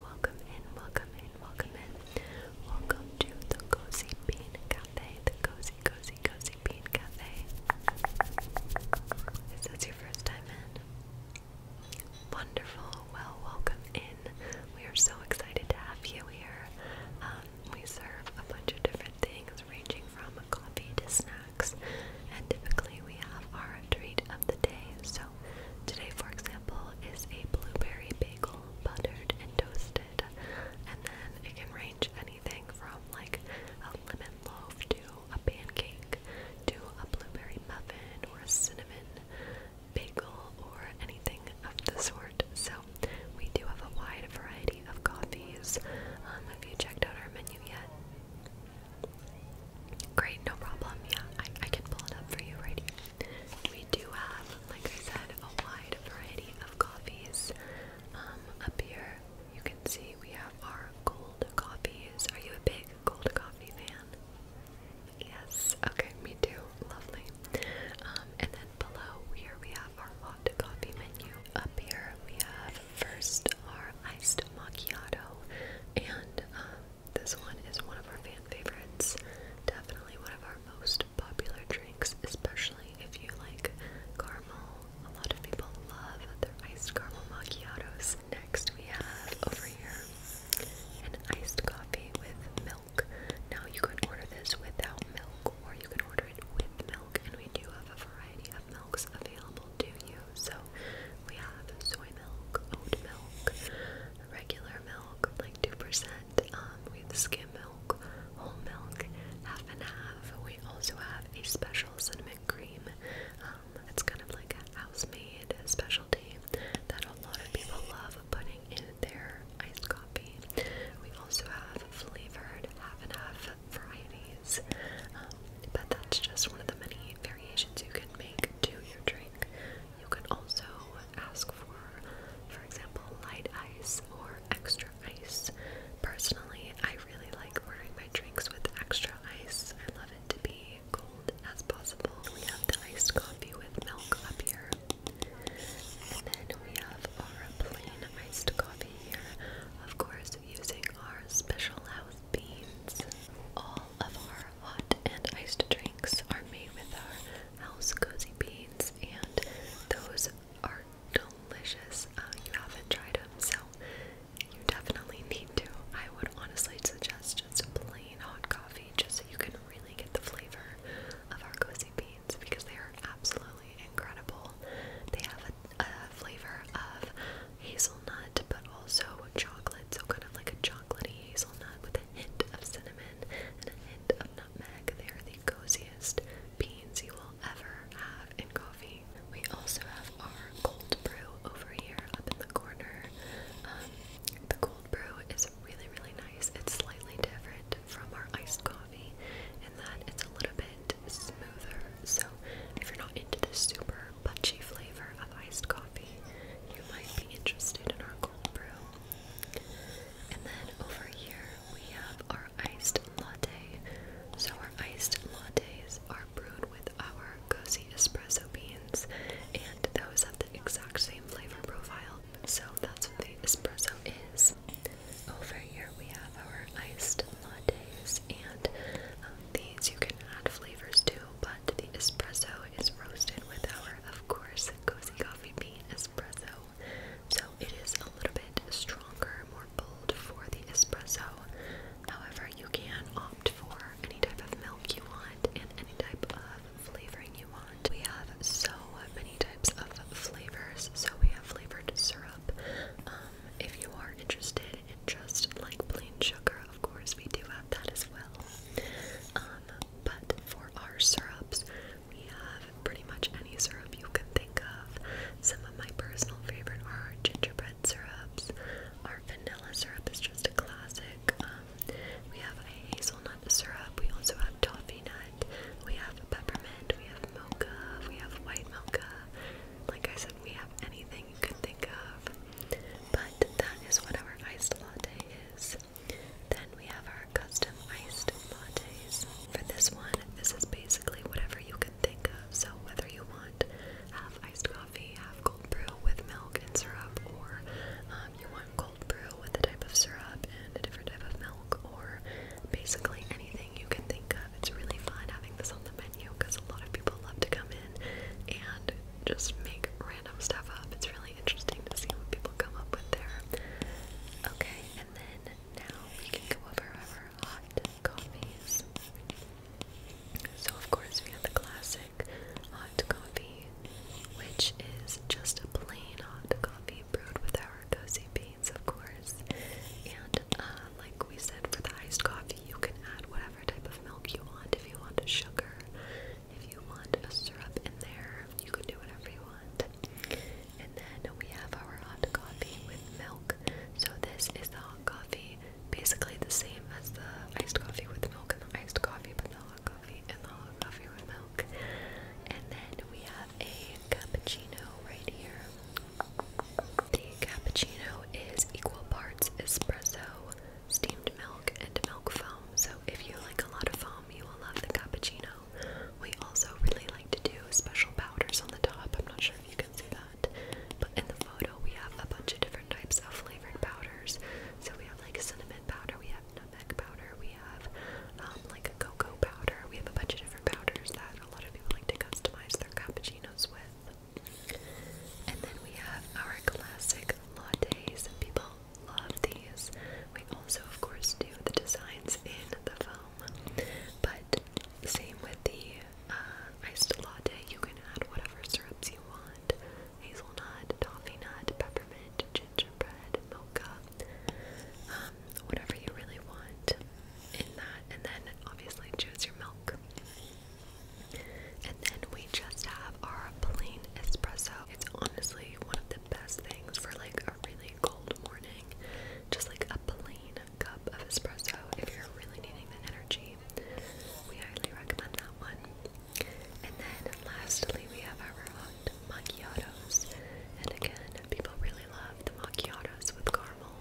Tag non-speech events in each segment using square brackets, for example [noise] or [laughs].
Welcome in, welcome in, welcome in. Welcome to the Cozy Bean Cafe. The Cozy, Cozy, Cozy Bean Cafe. Is this your first time in? Wonderful. Well, welcome in. We are so excited to have you here. Um, we serve a bunch of different things, ranging from coffee to snacks, and typically we have our treat of the day. So today, for example, is a blueberry bagel, buttered and toasted, and then it can range anything from like a lemon loaf to a pancake to a blueberry muffin or a cinnamon bagel or anything of the sort. So we do have a wide variety of coffees. Um, have you checked out our menu yet? Great, no problem. Yeah, I, I can pull it up for you right here. We do have, like I said, a wide variety of coffees. Um, up here, you can see we have our gold coffees. Are you a big gold coffee fan? Yes. Okay, me too. Lovely. Um, and then below here we have our hot coffee menu. Up here we have first our iced macchiato and um, this one is one of our fan favorites. Definitely one of our most popular drinks, especially if you like caramel. A lot of people love their iced caramel macchiatos. Next, we have over here an iced coffee with milk. Now, you can order this without milk, or you can order it with milk, and we do have a variety of milks available to you. So we have soy milk, oat milk, regular milk, like 2%. Um, we have skim milk, whole milk, half and half. We also have a special cinnamon cream. Um, it's kind of like a house-made specialty that a lot of people love putting in their iced coffee. We also have flavored half and half varieties. Um, but that's just one of the many variations you can make to your drink. You can also ask for, for example, light ice or extra ice. Personally, I really like ordering my drinks with extra ice. I love it to be cold as possible. We have the iced coffee with milk up here. And then we have our plain iced coffee here. Of course, using our special house beans. All of our hot and iced drinks are made with our house cozy beans, and those are delicious. Uh, you haven't tried them, so you definitely need to. I would honestly suggest just plain hot coffee just so you can really get the flavor of our cozy beans because they are absolutely incredible. They have a flavor of hazelnut, but also chocolate, so kind of like a chocolatey hazelnut with a hint of cinnamon and a hint of nutmeg. They are the coziest beans you will ever have in coffee. We also have our cold brew over here up in the corner. Um, the cold brew is really, really nice. It's slightly different from our iced coffee in that it's a little bit smoother. So if you're not into the super Buttery flavor of iced coffee, you might be interested in our cold brew. And then over here we have our iced latte. So our iced lattes are brewed with our cozy espresso beans, and those have the exact same flavor profile. So that's what the espresso is. Over here we have our iced lattes, and um, these you can add flavors to, but the espresso is roasted with our, of course, cozy coffee bean espresso. So it is a little bit stronger, more bold for the espresso. However, you can opt for any type of milk you want and any type of flavoring you want. We have so many types of flavors, so we have flavored syrup. Um, if you are interested and just like plain sugar, of course, we do have that as well. Um, but for our syrups, we have pretty much any syrup you can think of. Some of my personal favorite are gingerbread syrups. Our vanilla syrup is just a classic. Um, we have a hazelnut syrup. We also have toffee nut. We have peppermint. We have mocha. We have white mocha like I said, we have anything you could think of. But that is what our iced latte is. Then we have our custom iced lattes. For this one, this is basically whatever you can think of. So whether you want half iced coffee, half cold brew with milk and syrup, or um, you want cold brew with a type of syrup and a different type of milk, or basically anything you can think of. It's really fun having this on the menu venue because a lot of people love to come in and just make random stuff up. It's really interesting to see what people come up with there. Okay, and then now we can go over our hot coffees. So, of course, we have the classic hot coffee, which is just a plain hot coffee brewed with our cozy bean of course. And uh, like we said, for the iced coffee, you can add whatever type of milk you want. If you want sugar, if you want syrup in there, you can do whatever you want. And then we have our hot coffee with milk. So this is the hot coffee, basically the same as the iced coffee with milk and the iced coffee, but the hot coffee and the hot coffee with milk. And then we have a cappuccino right here. The cappuccino is equal parts espresso, steamed milk, and milk foam. So if you like a lot of foam, you will love the cappuccino. We also really like to do special powders on the top. I'm not sure if you can see that. But in the photo, we have a bunch of different types of flavored powders. So we have like cinnamon powder, we have nutmeg powder, we have um, like a cocoa powder. We have a bunch of different powders that a lot of people like to customize their cappuccinos with. And then we have our classic lattes. People love these. We also, of course, do the designs in the foam. But same with the uh, iced latte, you can add whatever syrups you want hazelnut, toffee nut, peppermint, gingerbread, mocha. Um, whatever you really want in that, and then obviously choose your milk. And then we just have our plain espresso. It's honestly one of the best things for like a really cold morning. Just like a plain cup of espresso if you're really needing that energy. We highly recommend that one. And then lastly, we have our hot macchiatos. And again, people really really love the macchiatos with caramel.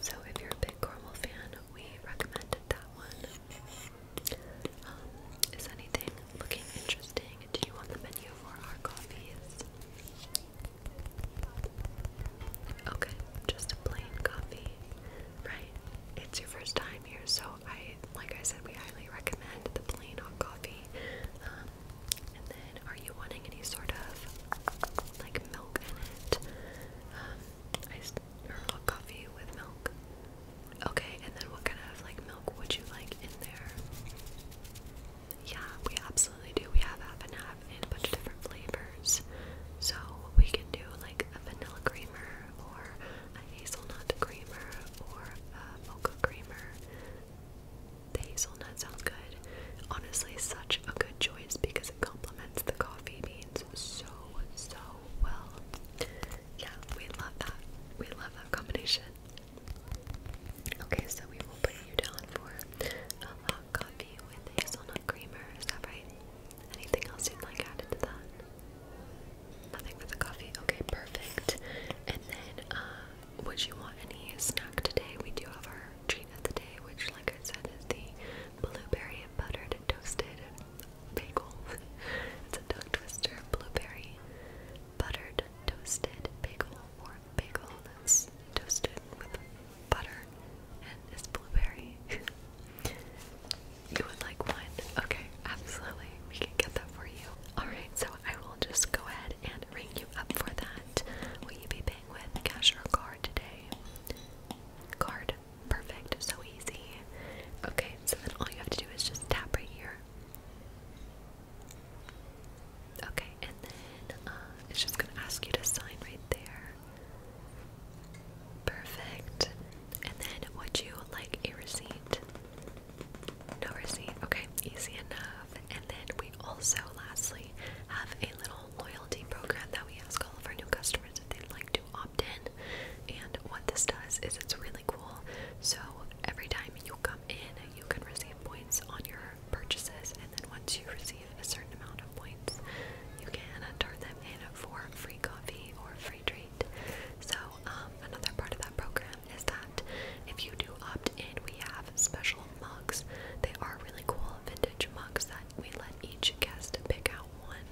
So if you're a big caramel fan, we recommended that one. Um, is anything looking interesting to you on the menu for our coffees? Okay, just a plain coffee, right? It's your first time here, so I, like I said, we highly recommend the plain hot coffee. Um, and then, are you wanting any sort of like milk in it? Um, iced or coffee with milk. Okay, and then what kind of like milk would you like in there? Yeah, we absolutely do. We have half and half in a bunch of different flavors. So we can do like a vanilla creamer or a hazelnut creamer or a mocha creamer. The hazelnut sounds good. Honestly, such a good choice because it complements the coffee beans so, so well. Yeah, we love that. We love that combination. Okay, so we will put you down for a hot coffee with hazelnut creamer. Is that right? Anything else you'd like added to that? Nothing for the coffee. Okay, perfect. And then uh, would you want any snack today? We do have our treat of the day, which, like I said, is the blueberry and buttered and toasted bagel. [laughs] it's a tongue twister, blueberry, buttered, toasted bagel, or bagel that's toasted with butter and it's blueberry. [laughs] you would like one? Okay, absolutely. We can get that for you. Alright, so I will just go ahead and ring you up for that. Will you be paying with cash or card today? Card. Perfect. So easy. Okay, so then all you have to do is just tap right here. Okay, and then uh, it's just going to ask you to sign right there. Perfect. And then would you like a receipt? No receipt. Okay, easy enough. And then we also, lastly, have a little loyalty program that we ask all of our new customers if they'd like to opt in. And what this does is it's really cool. So every time you come in, you can receive points on your purchases. And then once you receive a certain amount of points, you can turn them in for free coffee or free treat. So um, um, another part of that program is that if you do opt in, we have special mugs. They are really cool vintage mugs that we let each guest pick out one,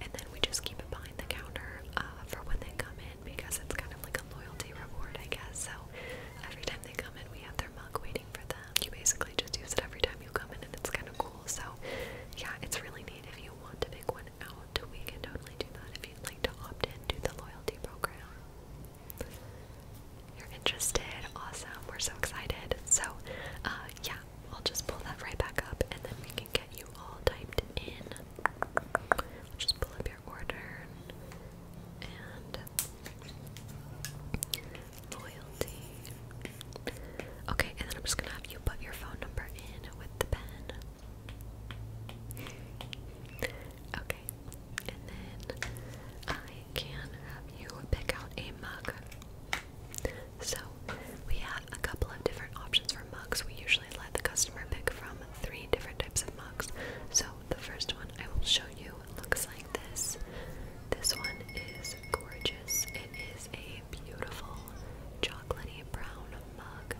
and then we just keep it behind the counter uh, for when they come in because it's kind of like a loyalty reward, I guess. So every time they come in, we have their mug waiting for them. You basically just use it every time you come in, and it's kind of cool. So yeah, it's really neat if you want to pick one one we can totally do that if you'd like to opt into the loyalty program. You're interested? Awesome. We're so excited. So, uh, yeah, I'll just pull that right back up and then we can get you all typed in. just pull up your order and loyalty. Okay, and then I'm just gonna have you put your phone number in with the pen. Okay, and then I can have you pick out a mug. So we have a couple of different options for mugs. We usually let the customer pick from three different types of mugs. So the first one I will show you looks like this. This one is gorgeous. It is a beautiful chocolatey brown mug,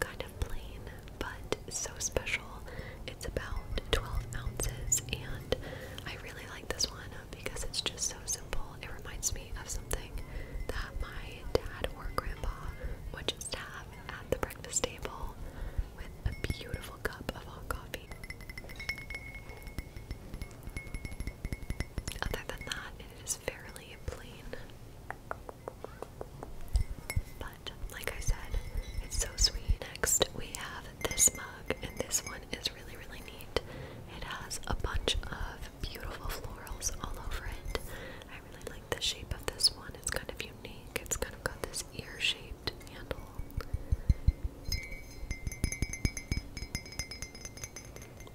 kind of plain but so special. It's about 12 ounces, and I really like this one because it's just so simple. It reminds me of something that my dad or grandpa would just have at the breakfast table with a beautiful cup of hot coffee. Other than that, it is fairly plain. But like I said, it's so sweet. Next, we have this mug, and this one is really, really neat. It has a bunch of beautiful florals all over it. I really like the shape of this one, it's kind of unique. It's kind of got this ear shaped handle.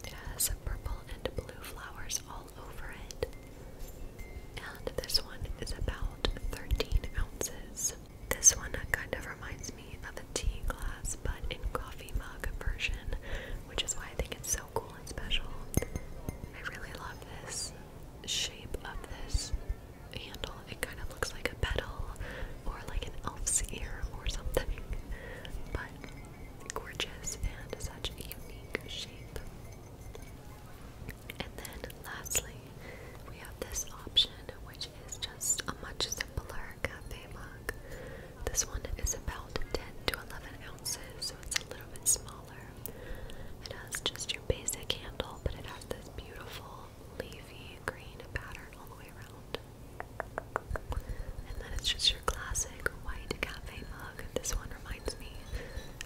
It has purple and blue flowers all over it. And this one is about 13 ounces. This one kind of reminds me of a tea glass, but in coffee mug version, which is why I think it's so cool and special. I really love this shape of this handle. It kind of looks like a petal or like an elf's ear or something, but gorgeous and such a unique shape. And then lastly, we have this option which is just a much simpler cafe mug. This one is about 10 to 11 ounces, so it's a little bit smaller. It has just your basic handle, but it has this beautiful leafy green pattern all the way around. And then it's just your classic white cafe mug. This one reminds me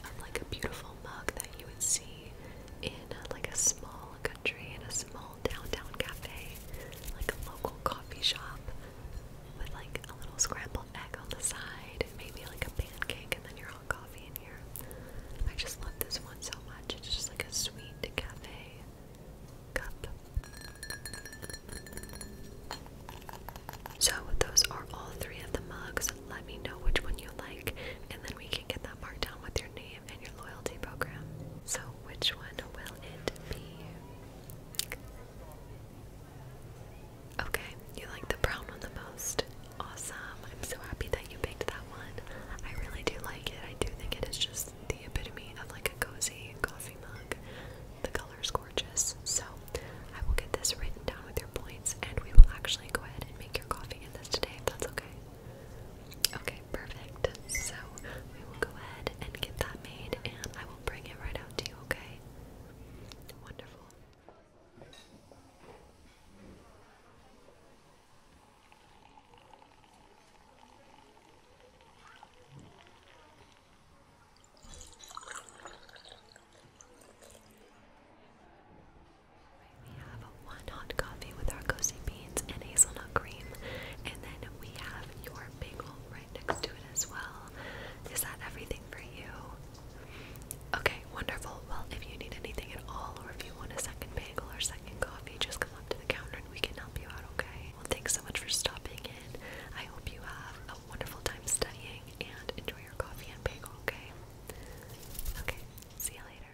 of like a beautiful mug that you would see in a, uh, like a small country, in a small downtown cafe, like a local coffee shop with like a little scrambled egg on the side, and maybe like a pancake, and then your hot coffee in here. I just love this one so much. It's just like a sweet cafe cup so, those are all three of the mugs. Let me know which one you like, and then we can get that marked down with your name and your loyalty program. So, which one will it be? Okay, you like the brown one the most. Awesome. I'm so happy that you picked that one. I really do like it. I do think it is just the epitome of like a cozy coffee mug. The color is gorgeous. So I will get this written down with your points and we will actually go ahead and make your coffee in this today if that's okay. Okay, perfect. So we will go ahead and get that made and I will bring it right out to you, okay? Wonderful. We have one hot coffee with our cozy beans and hazelnut cream, and then we have your bagel right next to it as well. Is that everything for you? Okay, wonderful. Well, if you need anything at all, or if you want a second bagel or second coffee, just come up to the counter and we can help you out, okay? Well, thanks so much for stopping in. I hope you have a wonderful time studying and enjoy your coffee and bagel, okay? Okay, see you later.